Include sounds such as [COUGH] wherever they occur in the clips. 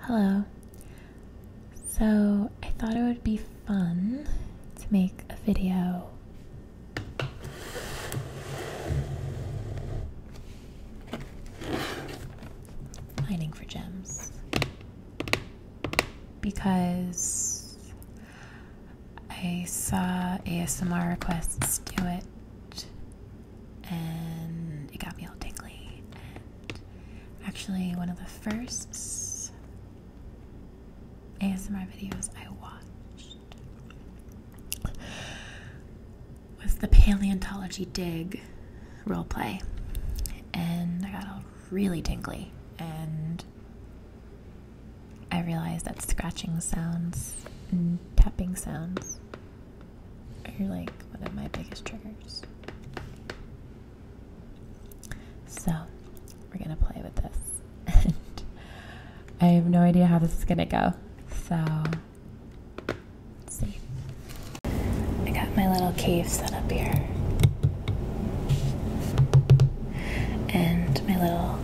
Hello. So, I thought it would be fun to make a video mining for gems because I saw ASMR requests do it and it got me all tingly. And actually, one of the first ASMR videos I watched was the paleontology dig role play, and I got all really tingly and. I realized that scratching sounds and tapping sounds you are like one of my biggest triggers. So, we're gonna play with this. and I have no idea how this is gonna go. So, see. I got my little cave set up here. And my little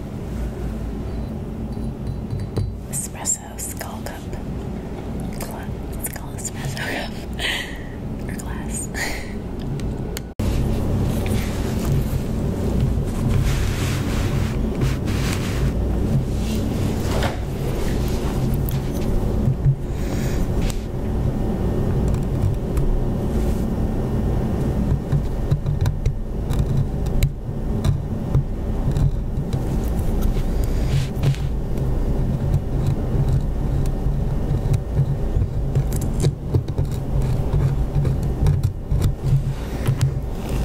espresso espresso skull cup. [LAUGHS] glass.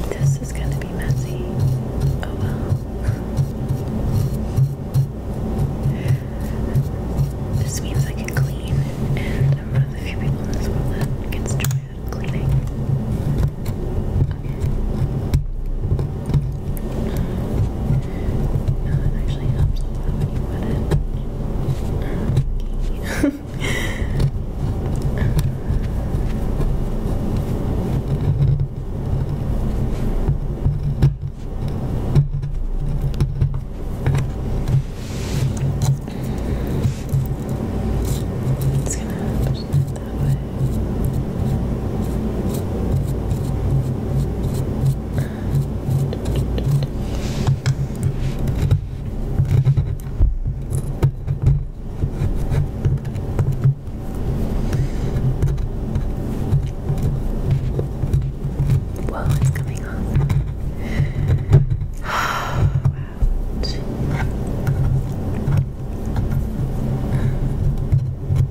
This is going to be messy. Oh well. This means I can clean, and I'm one of the few people in this world that gets joy out of cleaning. Uh, it actually helps a lot when you it. It's gonna happen that Whoa, it's coming off. [SIGHS] wow.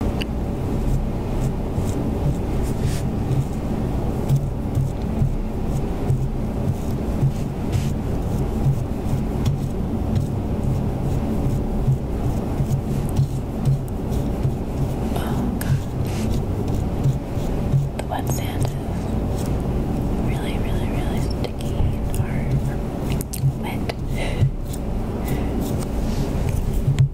Oh god. The wet sand is really, really, really sticky or wet. [LAUGHS]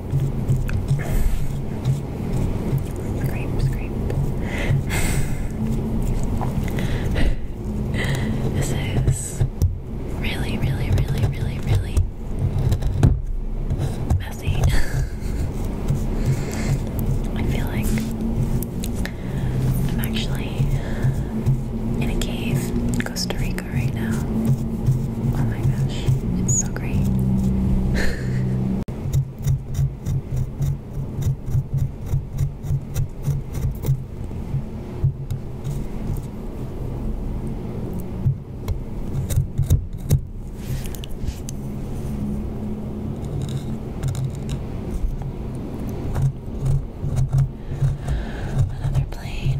Scrape, scrape. [LAUGHS] this is really, really, really, really, really messy. [LAUGHS] I feel like I'm actually in a cave in Costa Rica right now. Oh my gosh, it's so great. [LAUGHS] Another plane.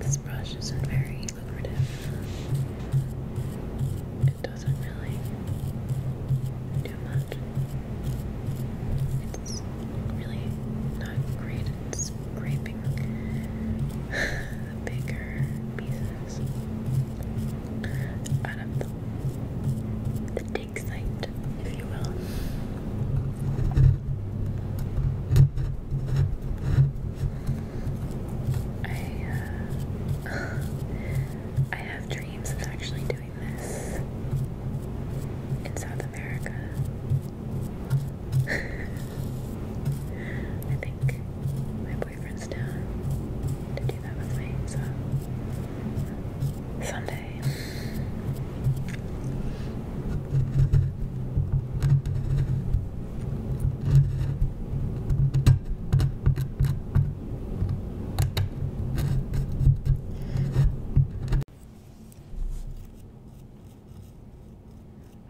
This brush isn't very lucrative. It doesn't really do much. It's really not great scraping the [SIGHS] bigger pieces out of the, dig site, if you will. I, uh, [LAUGHS] I have dreams of actually doing this in South America. I think my boyfriend's down to do that with me, so someday.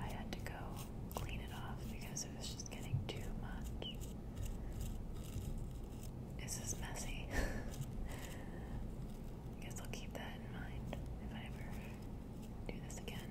I had to go clean it off because it was just getting too much. This is messy. [LAUGHS] I guess I'll keep that in mind if I ever do this again.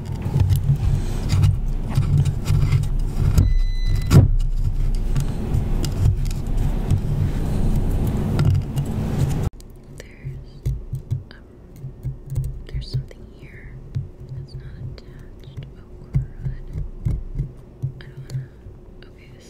um, there's something here that's not attached. Oh, I don't wanna. Okay, this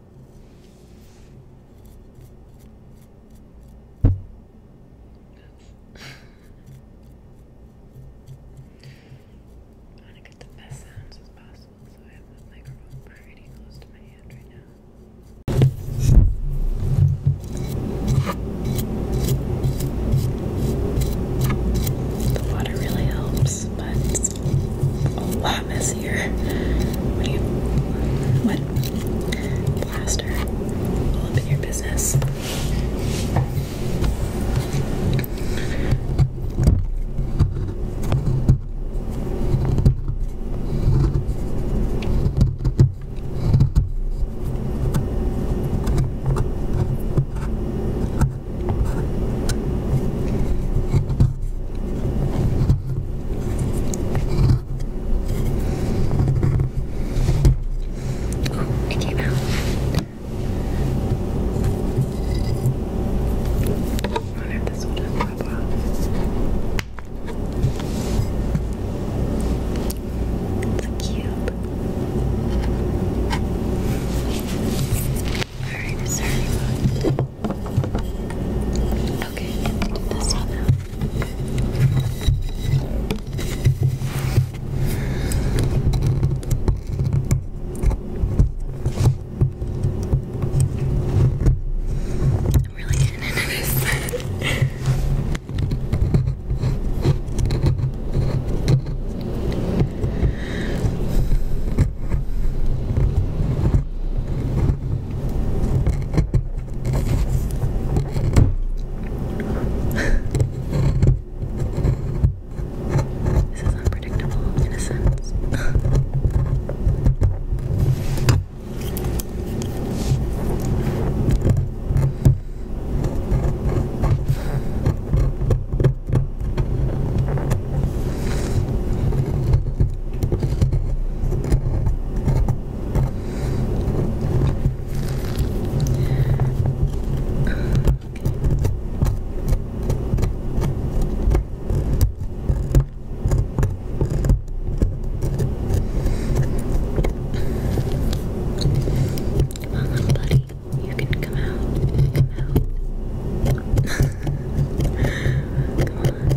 I want to get the best sounds as possible, so I have the microphone pretty close to my hand right now. The water really helps, but it's a lot messier here. What do you what? Plaster. All up in your business. Oh, it came out. wonder if this will just pop off. It's a cube. Alright, is Okay, this one now. I'm really getting into this this is unpredictable in a sense. Well done, buddy. You can come out. Come out. [LAUGHS] come on.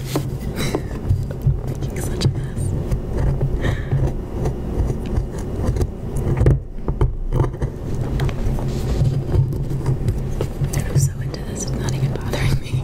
Making such a mess. I'm so into this, it's not even bothering me.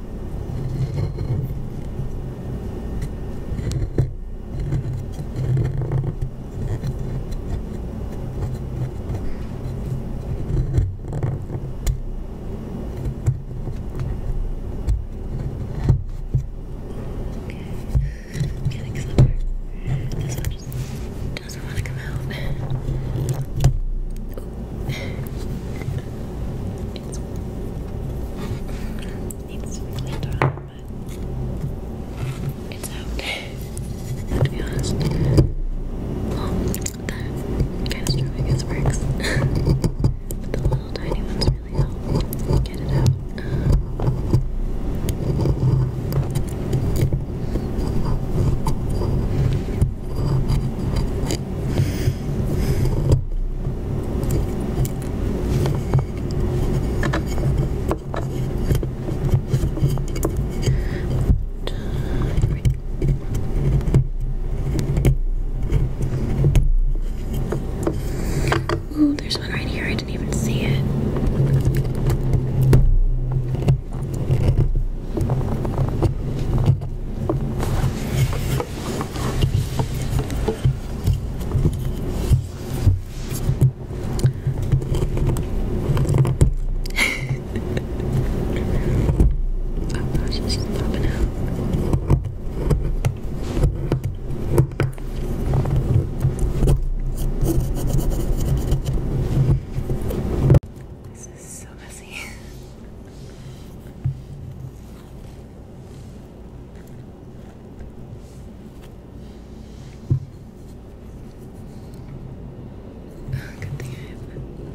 I'm getting somewhere. This one just doesn't want to come out it's, [LAUGHS] it's really but it's okay. [SIGHS] to be honest, um, that works, [LAUGHS] the little tiny ones really help get it out. Ooh, there's one right here. I didn't even see it oh gosh, it's just popping out. This is so messy. Oh, good thing I have that.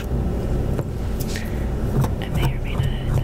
I may or may not edit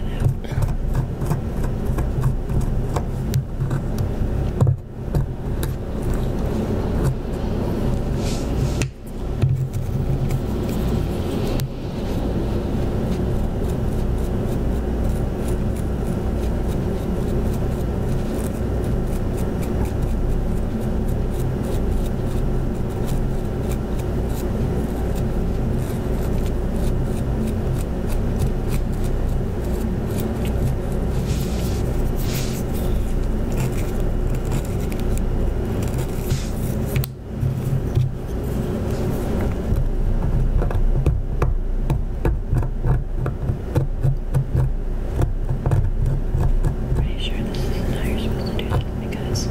Pretty sure this is how you're supposed to do because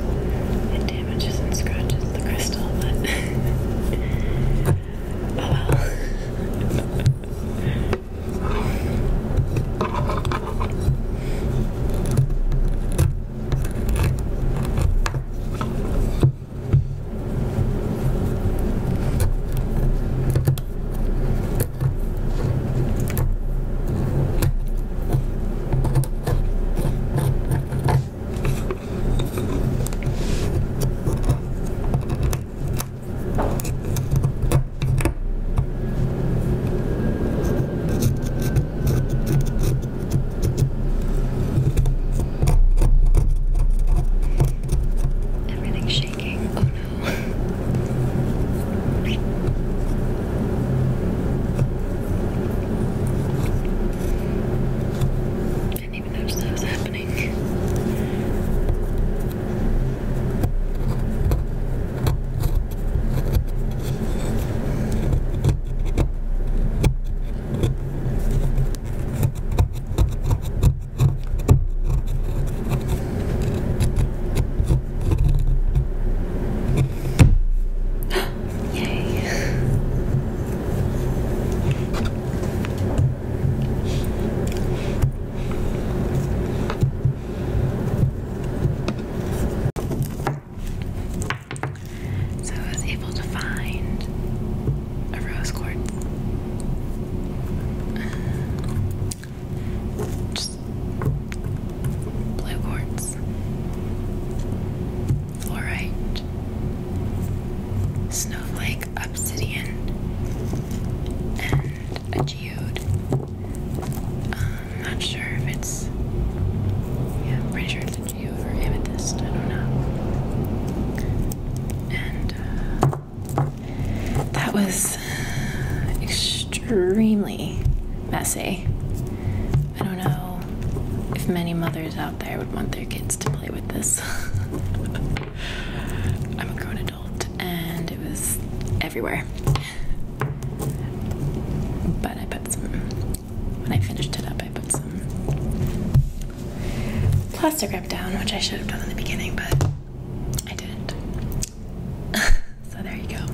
it damages and scratches the crystal, but [LAUGHS] oh well. Everything's shaking. Oh no. I Didn't even notice that was happening. Yay. So I was able to find a rose quartz. just blue quartz, fluorite, snowflake, obsidian, and a geode. Um, not sure if it's. Yeah, I'm pretty sure it's a geode or amethyst. I don't know. And uh, that was extremely messy. I don't know if many mothers out there would want their kids to play with this. [LAUGHS] I'm a grown adult and it was everywhere. But I put some, when I finished it up, I put some plastic wrap down, which I should have done in the beginning, but I didn't. [LAUGHS] so there you go.